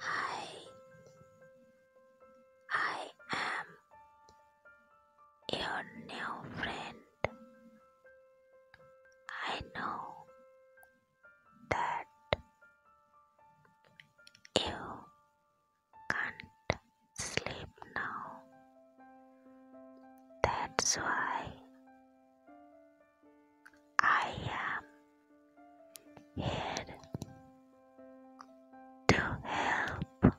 I I am your new friend. I know that you can't sleep now. That's why I am here to help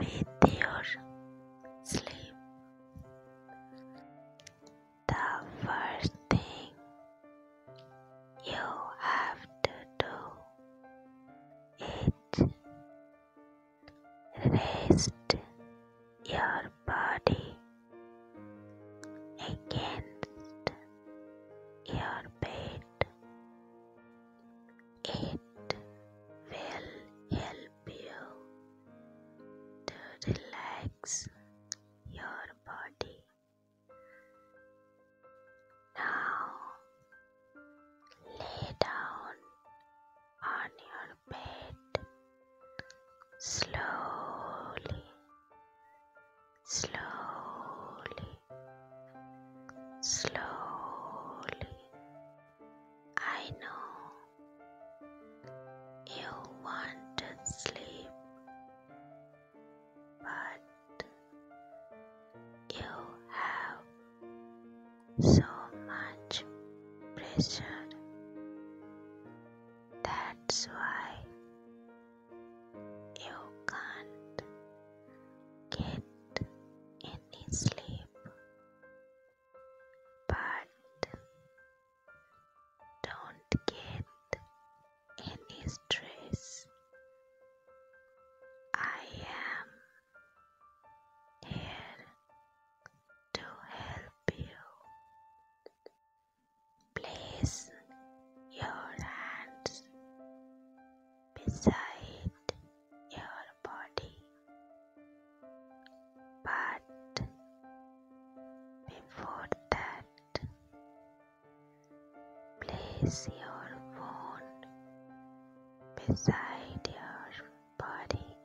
you with your sleep. The first thing you have to do is rest your body against your bed. It will help you to relax your body. Now lay down on your bed. Slowly, slowly, slowly. I know you want to sleep, but you have so much pressure. That's why you can't get any sleep. But don't get any stress. I am here to help you. Place your hands beside your body, but before that, place your phone beside your body.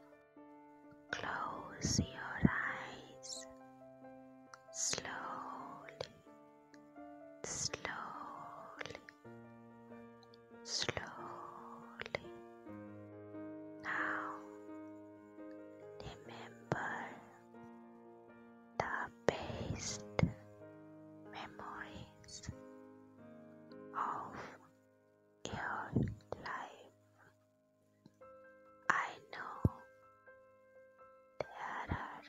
Close your eyes slowly, slowly, slowly. Now remember the best memories of your life. I know there are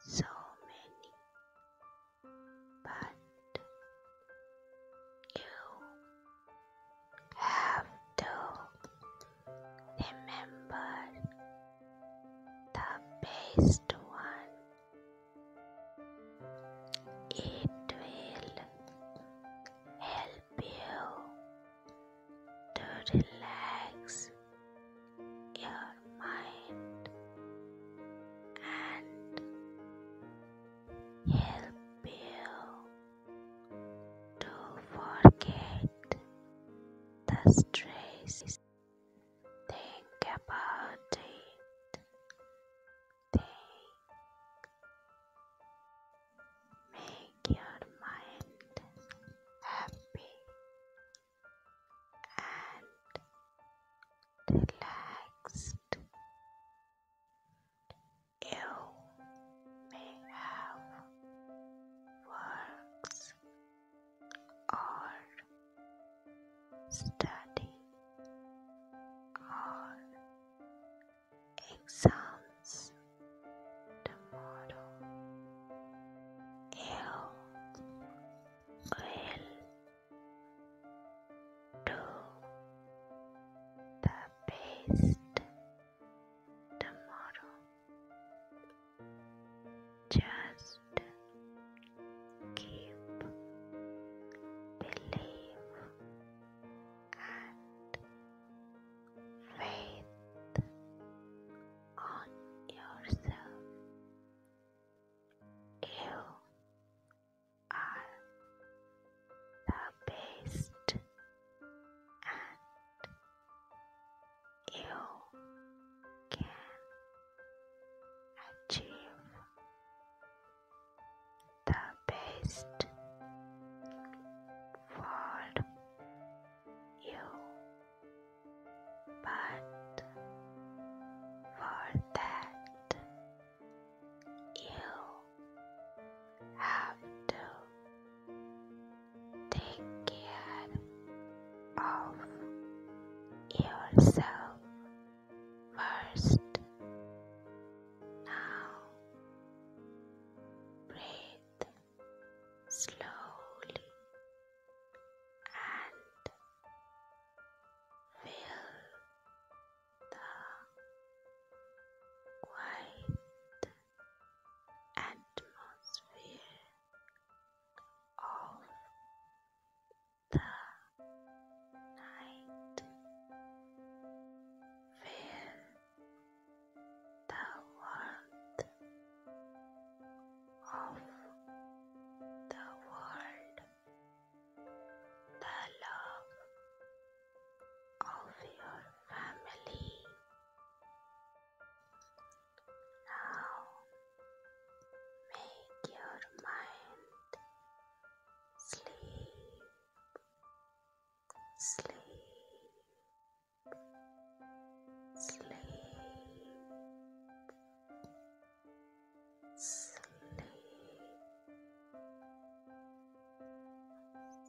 so many, but you have to remember the best one. It will help you to relax your mind and help you to forget the stress. Think about it. Think. Make your mind happy and relaxed. You may have works or study or exams tomorrow. You will do the best tomorrow. Just keep believe and faith on yourself. You are the best you can achieve the best for you, but for that, you have to Take care of yourself first. Now breathe slowly and feel the quiet atmosphere of the night where the warmth of the world, the love of your family now make your mind sleep, sleep, sleep, sleep.